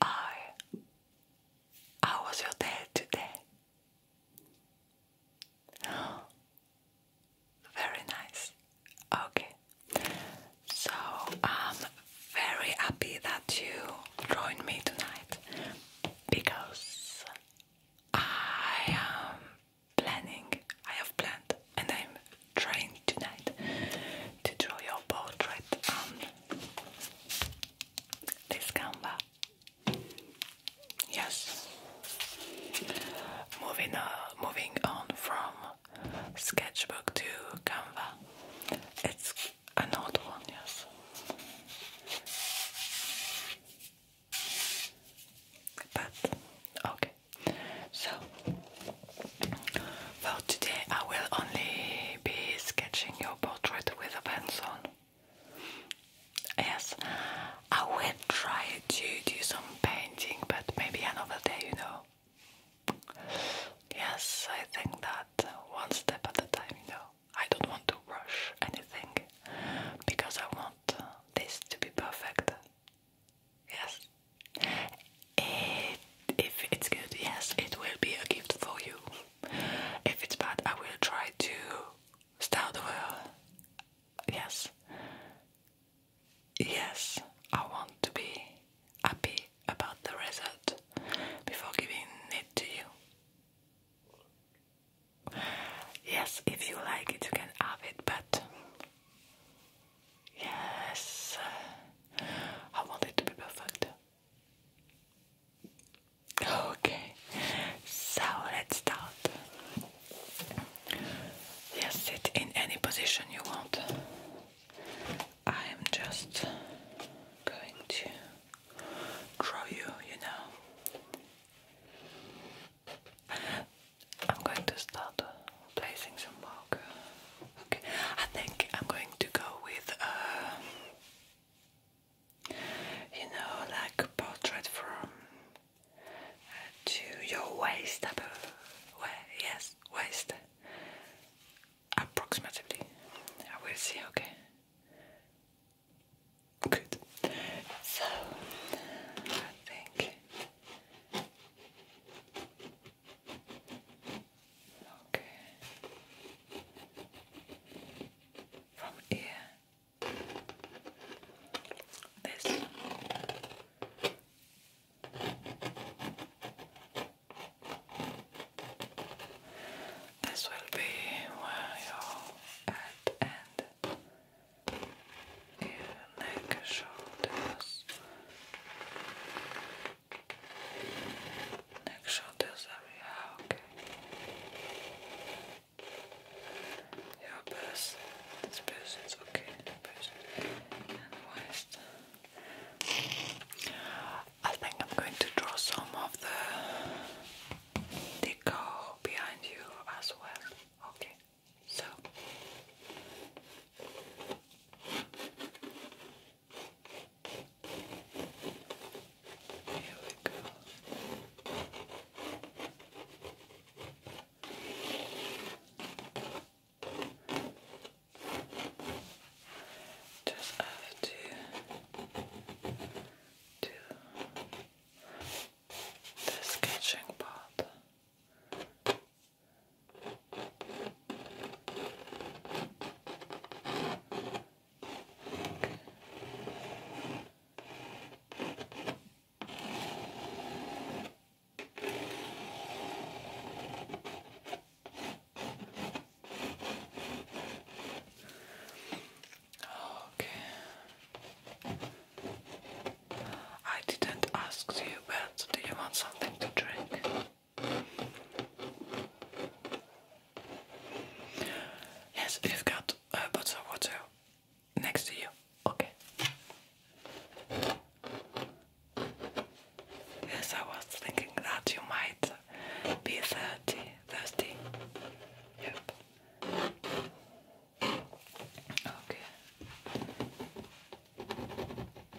I I was your dad today. very nice. Okay. So I'm very happy that you joined me tonight because I am planning, I have planned and I'm trying tonight to draw your portrait this Canva. Yes. Moving, uh, moving on from sketchbook to canvas. It's an old one, yes. But okay. So well, today, I will only be sketching your portrait with a pencil. Yes, I will try to do some painting, but maybe another day, you know. Yes, I think that one step at a time, you know. I don't want to rush anything because I want this to be perfect. Yes, it, if it's good, yes, it will be a gift for you. If it's bad, I will try to start out of Yes, yes, I want to be happy about the result before giving it to you. Yes, if you like it, you can have it, but. Yes, I want it to be perfect. Okay, so let's start. Yes, sit in any position you want. I am just going to draw you, you know. I'm going to start placing some markers. Okay, I think I'm going to go with, uh, you know, like a portrait from uh, to your waist, up, uh, yes, waist, approximately. I will see. Okay, good. So I think. Okay. From here, this this will be where your head and neck, shoulders, Neck, shoulders area. Okay. Your best. This person's okay. This person. And waist. I think I'm going to draw some of the decor behind you as well. Okay. So. Here we go. Just have to do the sketching part. Okay. I didn't ask you, but do you want something to drink? Yes, you've got a uh, bottle of water next to you. Okay. Yes, I was thinking that you might be thirsty. Thirsty. Yep. Okay.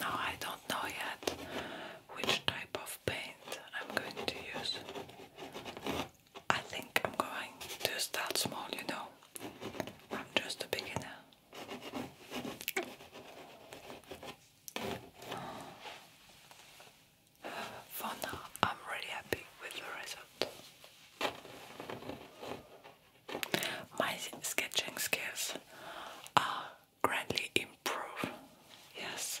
Now I don't know yet which type of paint I'm going to use. I think I'm going to start small, you know. I'm just a beginner. For now, I'm really happy with the result. My sketching skills are greatly improved. Yes.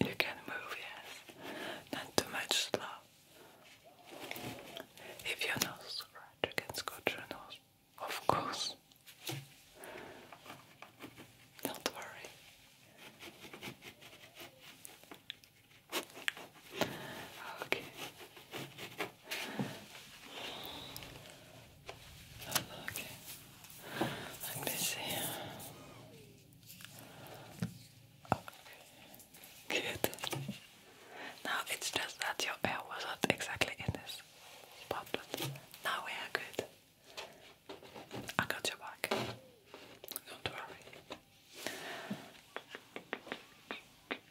You can move, yes. Not too much slow. If your nose scratch, you can scratch your nose. Of course. Don't worry. Okay. Oh, look. I'm busy. Okay. Good. Now it's just that your hair was not exactly in this spot, but now we are good. I got your back. Don't worry.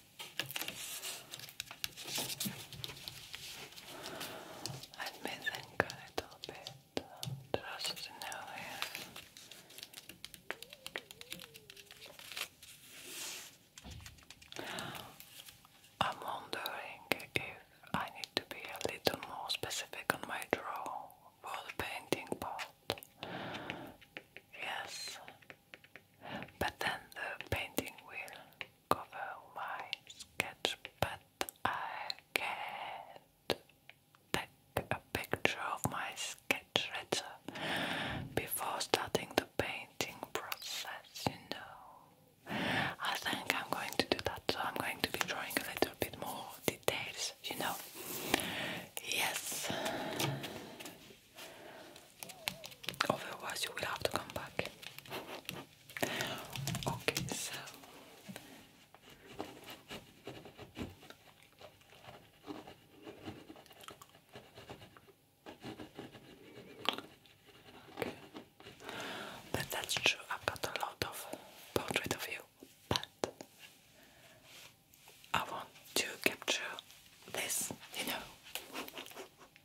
Let me think a little bit, just to I'm wondering if I need to be a little more specific on my draw for the painting part. Yes, but then the painting will cover my sketch, but I can a picture of my sketch before starting the painting process, you know. I think I'm going to do that, so I'm going to be drawing a little bit more details, you know. Yes, Otherwise, you will have to come back. Okay, so But that's true, I've got a lot of portrait of you, but I want to capture this, you know.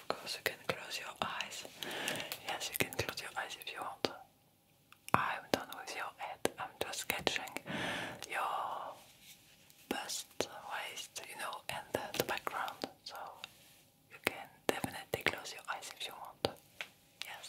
Of course, you can close your eyes. Yes, you can close your eyes if you want. I'm done with your head. I'm just sketching your bust, waist, you know, and the, the background. So you can definitely close your eyes if you want. Yes.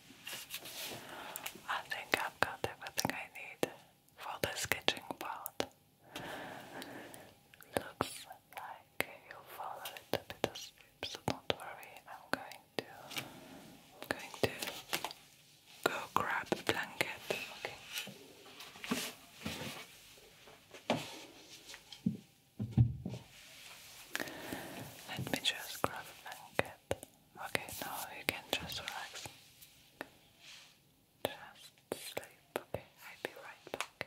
I think I've got everything I need for this sketching part. Looks like you fall a bit asleep, so don't worry. I'm going to, I'm going to go grab blanket. Okay. Let me just grab blanket. Okay, now you can just relax. Just sleep. Okay, I'll be right back.